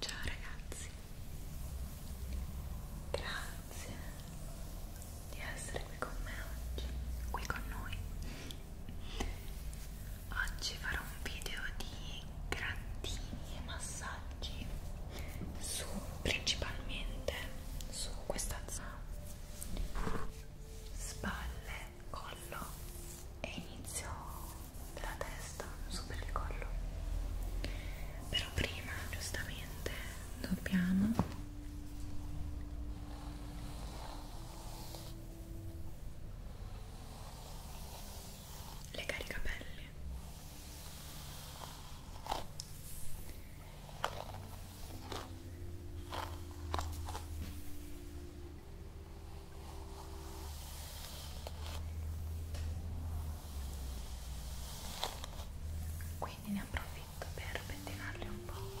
Ciao ragazzi, grazie di essere qui con me oggi, qui con noi. Oggi farò un video di grattini e massaggi su principalmente su questa zona spalle collo e inizio della testa, su per il collo. Però prima, giustamente, dobbiamo legare i capelli quindi ne approfitto per pettinarli un po'.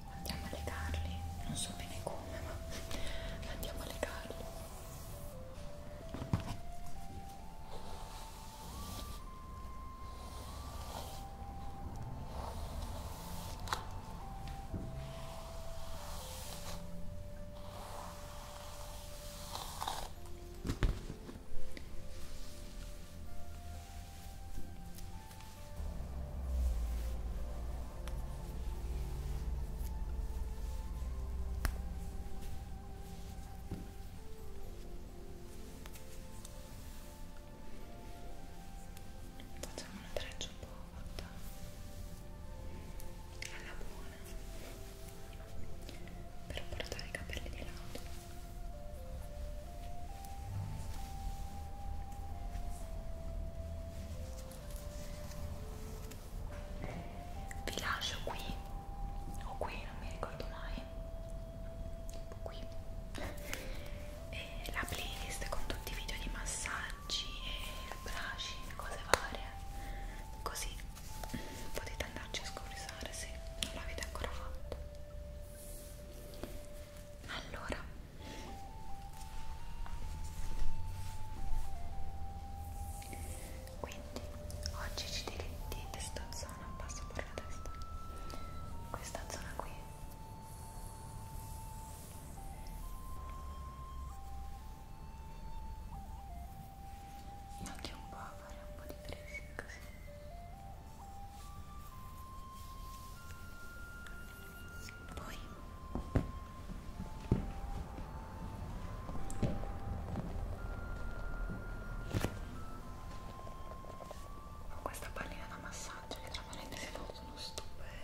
andiamo a legarli non so bene come ma andiamo a legarli Facciamo una treccia un po' fatta alla buona per portare i capelli di lato. Ecco vi lascio qui o qui non mi ricordo mai tipo qui e la playlist con tutti i video di massaggi e brushing cose varie così potete andarci a scuriosare se non l'avete ancora fatto allora quindi oggi ci diritti questa zona passo per la testa questa zona qui anche un po' a fare un po' di pressing così poi ho questa pallina da massaggio che veramente si sono stupendo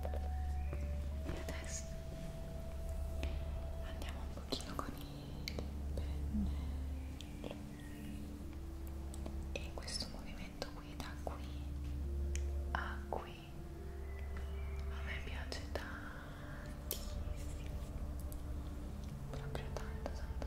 e adesso andiamo un pochino con il pennello e questo movimento qui da qui a qui a me piace tantissimo proprio tanto tanto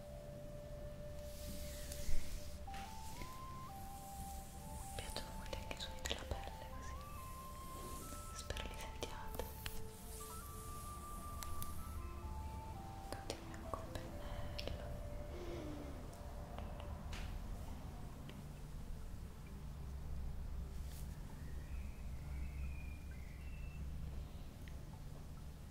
Mi piacciono molto anche i suoni della pelle così. Spero li sentiate. Continuiamo col pennello. Ecco.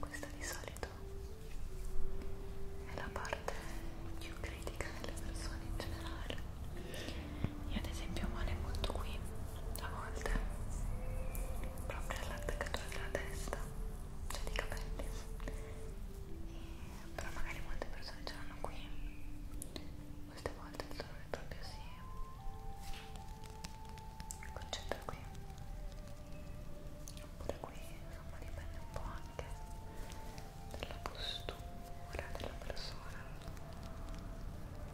Questa di solito è la parte più critica delle persone in generale io ad esempio male molto qui, a volte, proprio all'attaccatura della testa, cioè dei capelli. E, però magari molte persone ce l'hanno qui, molte volte il dolore proprio si concentra qui. Oppure qui, insomma, dipende un po' anche dalla postura della persona.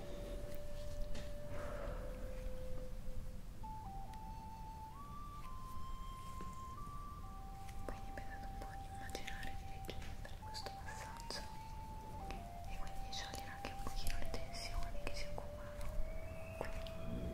Quindi mi è dato un po' di immaginare di ricevere questo massaggio e quindi sciogliere anche un pochino le tensioni che si accumulano qui. Io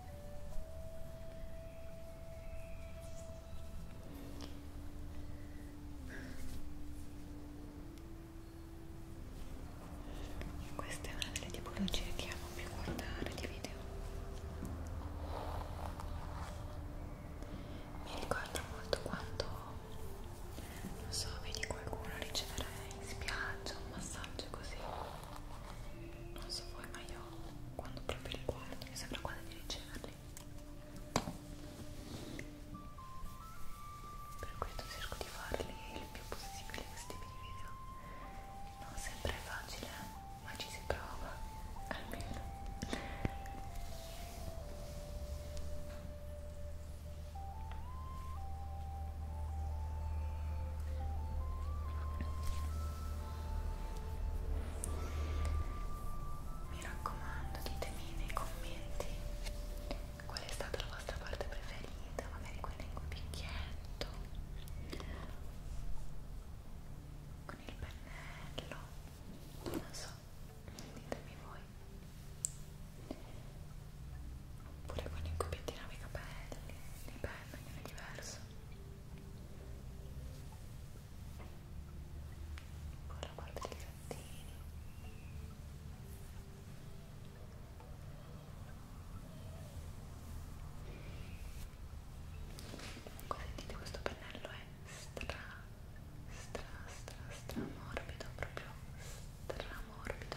Questa è una delle tipologie che amo più guardare di video. Mi ricordo molto quando, non so, vedi qualcuno ricevere in spiaggia un massaggio così non so voi ma io quando proprio li guardo mi sembra quasi di riceverli per questo cerco di farli il più possibile questi video non sempre è facile ma ci si prova almeno mi raccomando, ditemi nei commenti qual è stata la vostra parte preferita, magari quella in cubicchietto, con il pennello, non so, ditemi voi. Oppure con i cubettini nei capelli, nei fare un cognome diverso con la parte dei gattini comunque sentite questo pennello è eh? stra stra stra stra morbido proprio stra morbido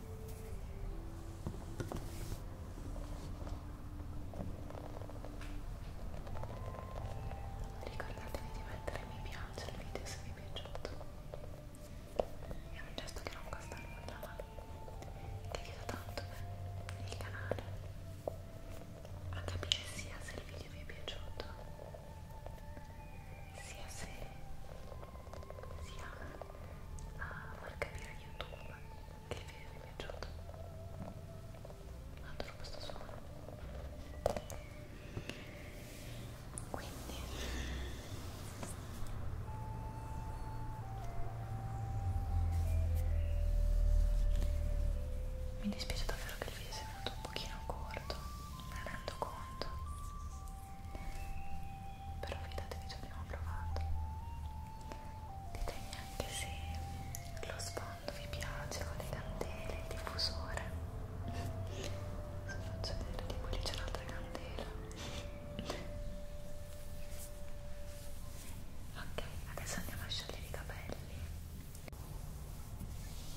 Ricordatevi di mettere mi piace al video se vi è piaciuto. È un gesto che non costa nulla, ma che aiuta tanto il canale a capire sia se il video vi è piaciuto sia se sia a ah, far capire YouTube che il video vi è piaciuto. Adoro questo suono. Quindi mi dispiace davvero che il video sia venuto un pochino corto, me ne rendo conto però fidatevi ci abbiamo provato ditemi anche se lo sfondo vi piace con le candele, il diffusore se faccio vedere tipo lì c'è un'altra candela ok adesso andiamo a sciogliere i capelli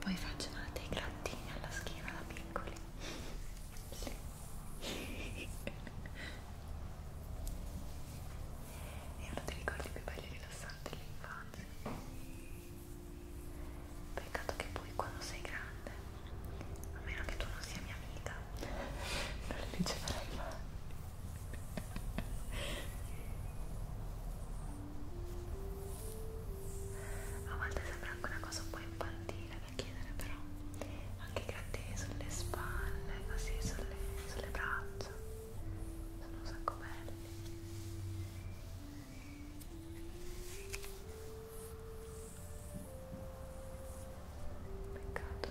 Poi facevano dei grattini alla schiena da piccoli. Sì. È uno dei ricordi più belli e rilassanti dell'infanzia. Peccato che poi quando sei grande, a meno che tu non sia mia amica, non le riceverai mai a volte sembra anche una cosa un po' infantile da chiedere però anche i grattini sulle spalle così sulle, sulle braccia sono un sacco belli peccato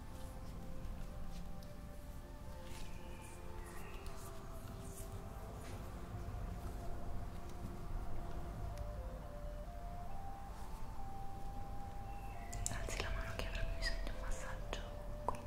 Alzi la mano che avrà bisogno di un massaggio qui.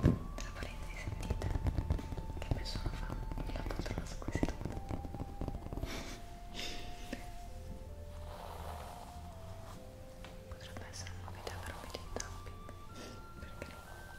Tra parentesi sentite che nessuno fa la poltrona su cui si Potrebbe essere una video per un video in tapping, perché no? Ecco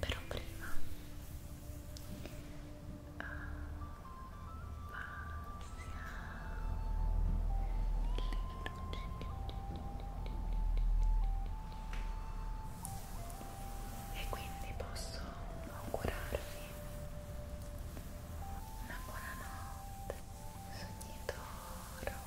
Però prima e quindi posso augurarvi una buonanotte sogni d'oro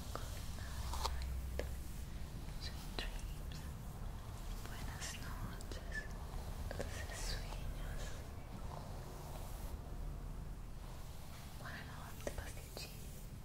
night, sweet dreams, buenas noches, dulces sueños. Buonanotte, pasticcini. Buonanotte.